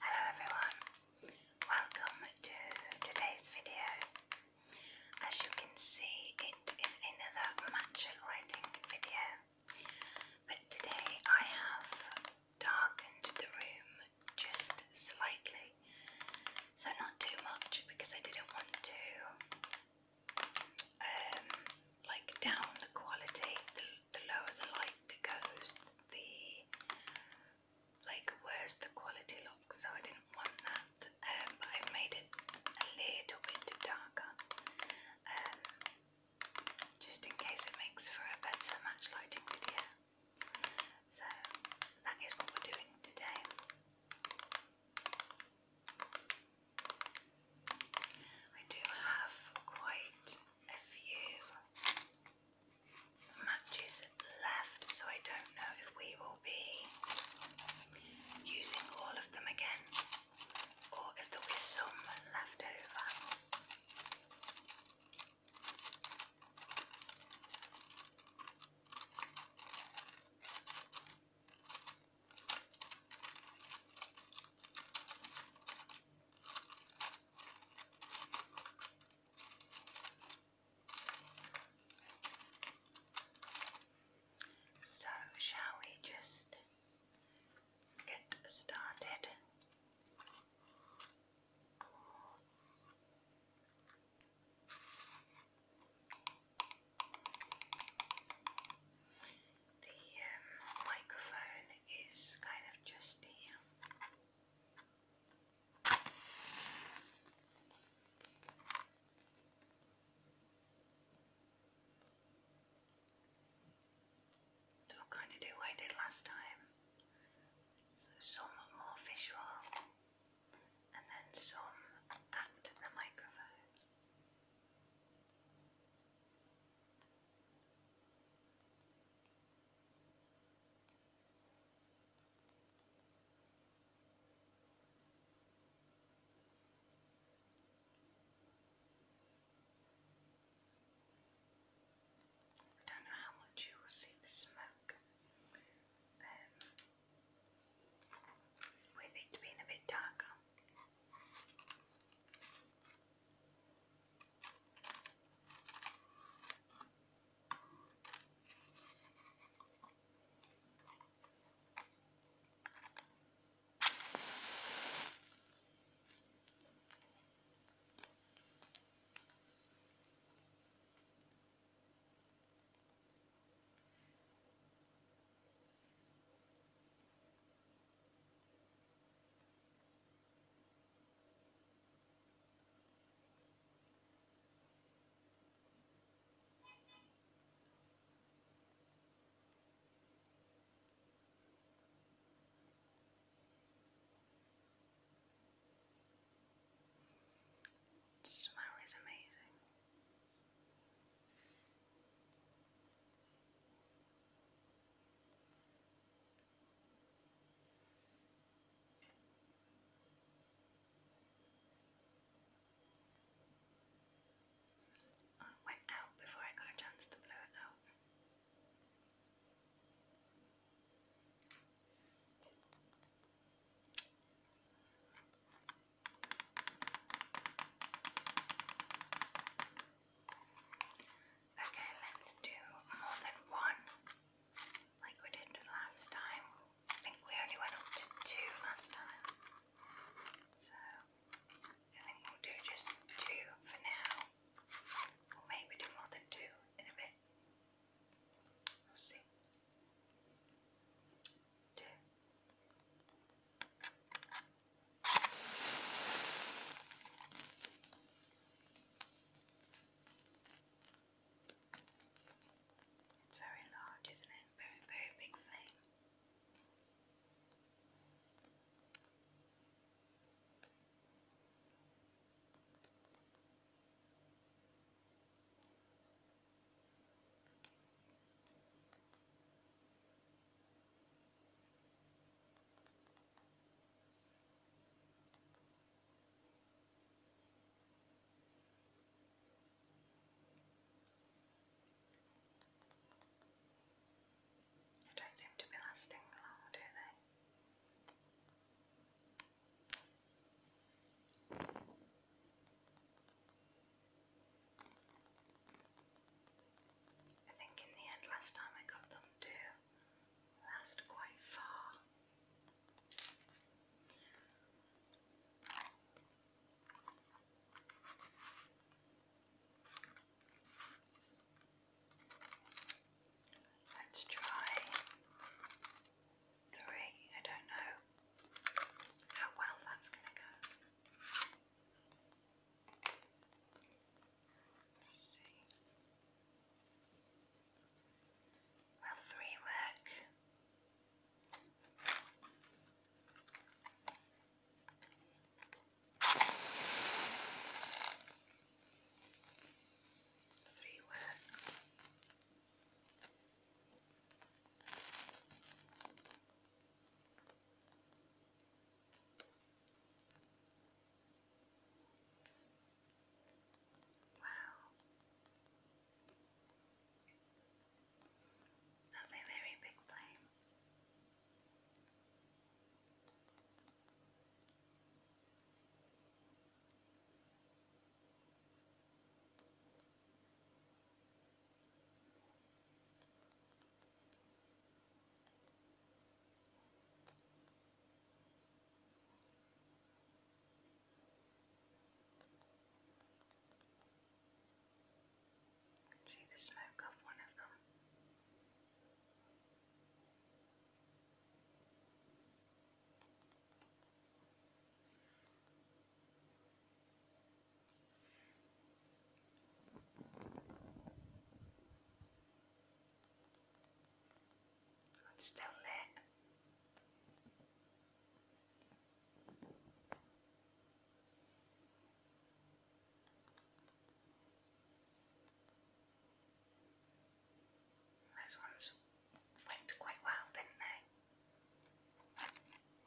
Hello everyone, welcome to today's video. As you can see, it is another matcha lighting video, but today I have darkened the room just slightly, so not too much because I didn't want to um, like down the quality, the, lower the light goes, the like worse the quality looks. So I didn't want that, um, but I've made it a little bit darker, um, just in case it makes for a better match lighting video. So that is what we're doing today. I do have quite a few matches left, so I don't know if we will be using all of them again or if there some left over. So, shall we just get started? The um, microphone is kind of just here. So i kind of do what I did last time. So somewhat more visual and then some act in the microphone. I don't know how much you will see the smoke. Um, we need to be in a bit darker. The smell is amazing. Oh, it went out before I got a chance to blow it out. Okay, let's do more than one like we did last time. I think we only went up to two last time. So I think we'll do just two for now. Or maybe do more than two in a bit. We'll see two. It's very large, isn't it? Very, very big flame. They don't seem to be lasting long, do they? I think in the end last time I got them to last quite far. Let's try three. I don't know how well that's going to go. Let's three work? Three works. Wow. That a very big flame. You can see the smoke of one of them. It's still Those ones went quite well, didn't they?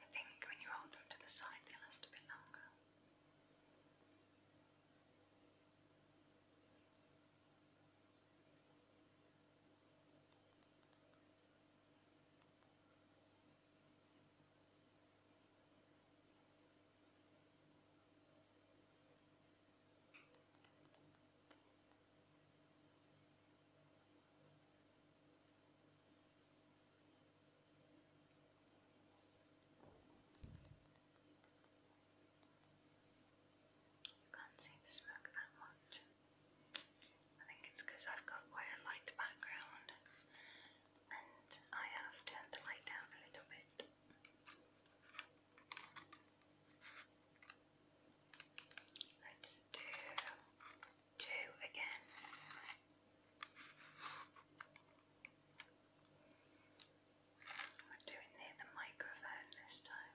I think when you hold them to the side, they'll last a bit longer. You can't see the smoke that much. I think it's because I've got quite a light background and I have turned the light down a little bit. Let's do two again. We're doing near the microphone this time.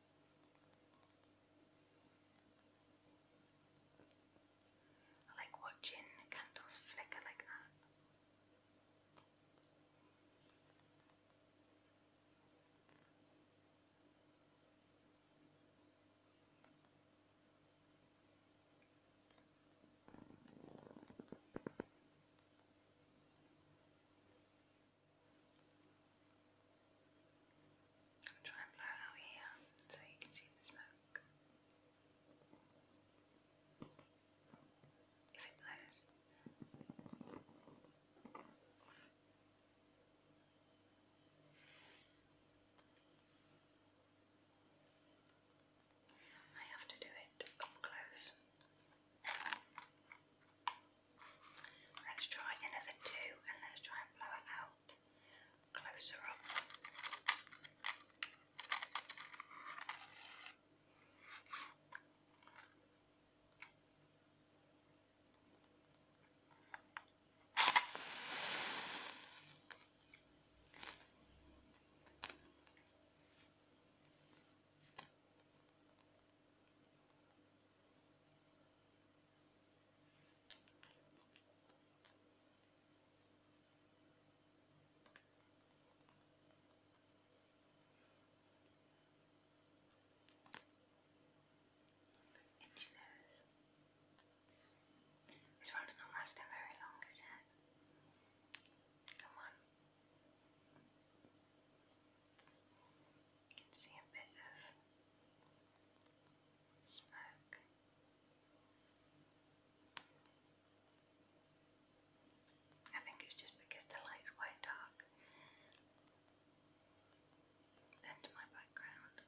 I like watching candles flicker like that. I'm trying to blow out here so you can see the smoke. If it blows. I have to do it up close. Let's try another two and let's try and blow it out closer up. Itchy nose. This one's not lasting very long, is it? Come on. You can see a bit of smoke. I think it's just because the light's quite dark. Then my background.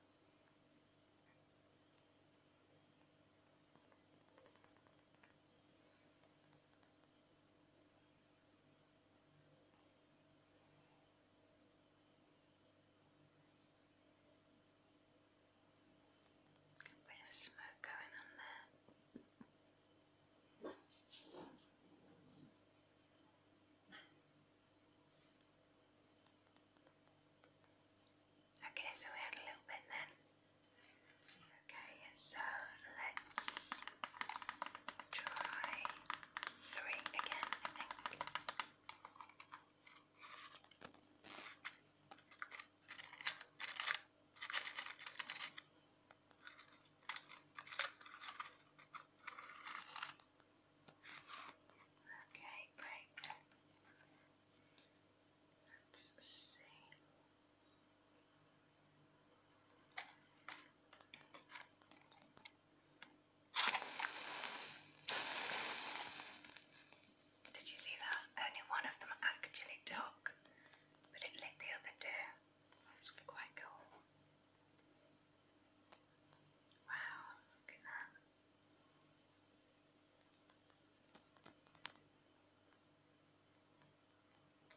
Bit of smoke going on there. Okay, so we had a little bit then. Okay, so let's try three again, I think. Okay, great. Let's see. Did you see that? Only one of them actually took, but it lit the other two. That's quite cool. Wow, look at that.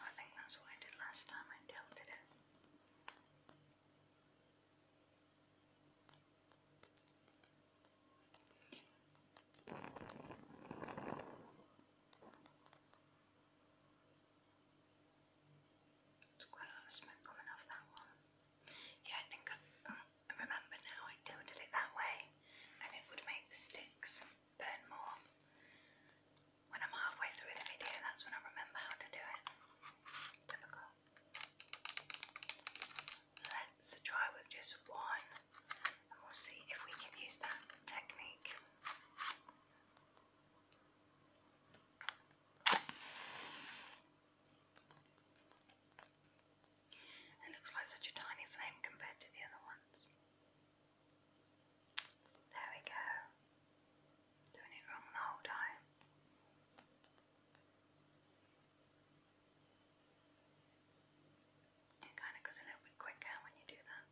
I think that's what I did last time, I tilted it. There's quite a lot of smoke coming off that one. Yeah, I think um, I remember now I tilted it that way and it would make the sticks burn more when I'm halfway through the video, that's when I remember how to do it. Difficult. Let's try with just one, and we'll see if we can use that technique. It looks like such a tiny flame compared to the other ones. There we go. Doing it wrong the whole time. It kind of goes a little bit quicker when you do that.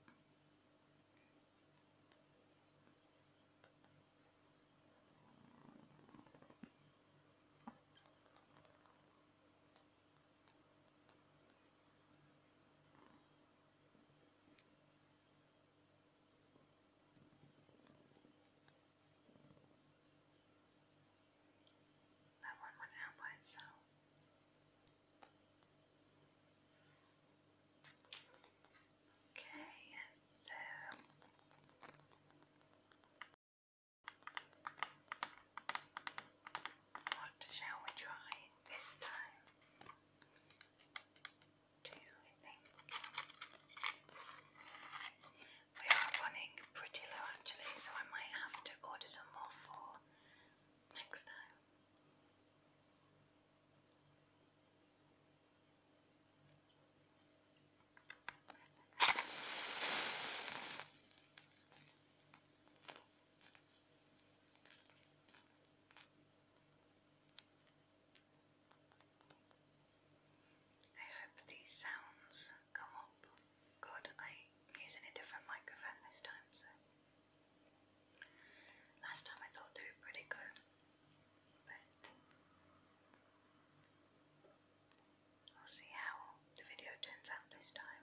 That one went out by itself. Okay, so what shall we try this time? two, I think. We are running pretty low actually, so I might have to order some more for next time. I hope these sounds come up good. I'm using a different microphone this time, so last time I thought they were pretty good, but we'll see how the video turns out this time.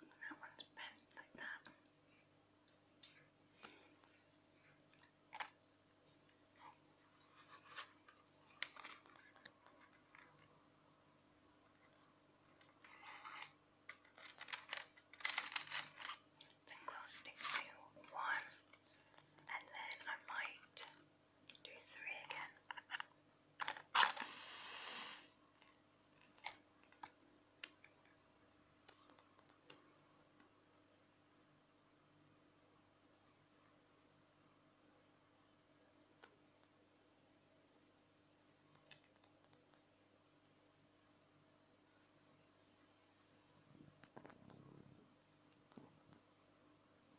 And that one's bent like that. I we'll stick to one and then I might do three again.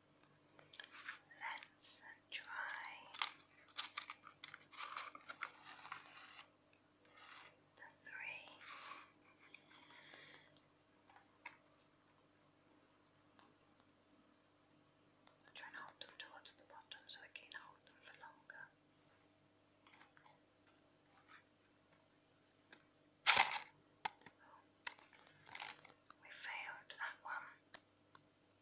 Let's try three. Try and hold them towards the bottom so I can hold them for longer. Oh, we failed that one.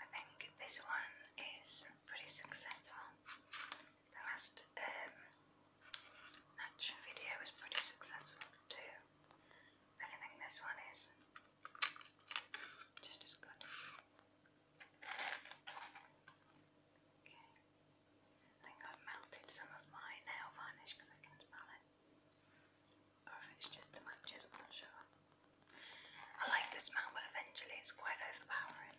I think this one is pretty successful. The last um, video was pretty successful too. I think this one is just as good. Okay. I think I've melted some of my nail varnish because I can smell it. Or it's just the matches, I'm not sure. I like the smell, but eventually it's quite overpowering.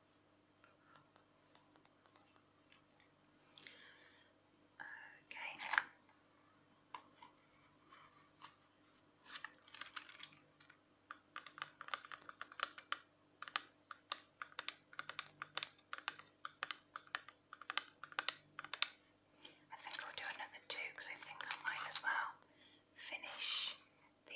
Okay. I think I'll do another two because I think I might as well finish the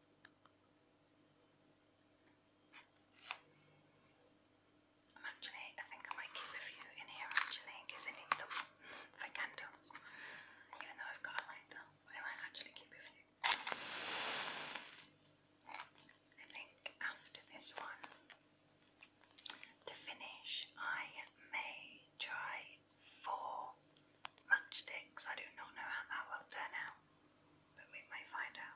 I'm actually, I think I might keep a few in here actually in I need them for candles. Even though I've got a lighter, I might actually keep a few. I think after this one, to finish, I may try four matchsticks. I do not know how that will turn out, but we may find out.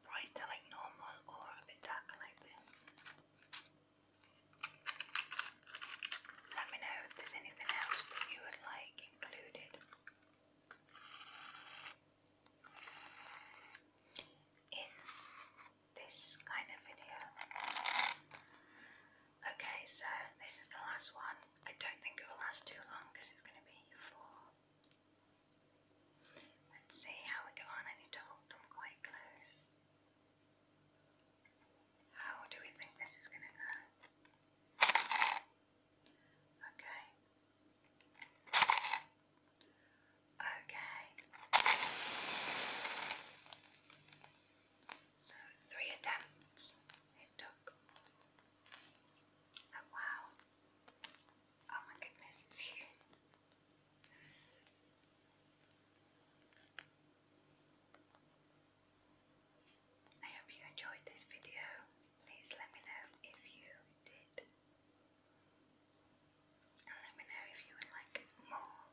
brighter like normal or a bit darker like this. Let me know if there's anything else that you would like included. In this kind of video. Okay, so this is the last one. I don't think it will last too long because it's going to be four, Let's see how we go on. I need to hold them quite close. How do we think this is going to go? Okay. Okay. So three attempts it took. Oh wow. Oh my goodness, I hope you enjoyed this video. Please let me know if you did. And let me know if you would like more.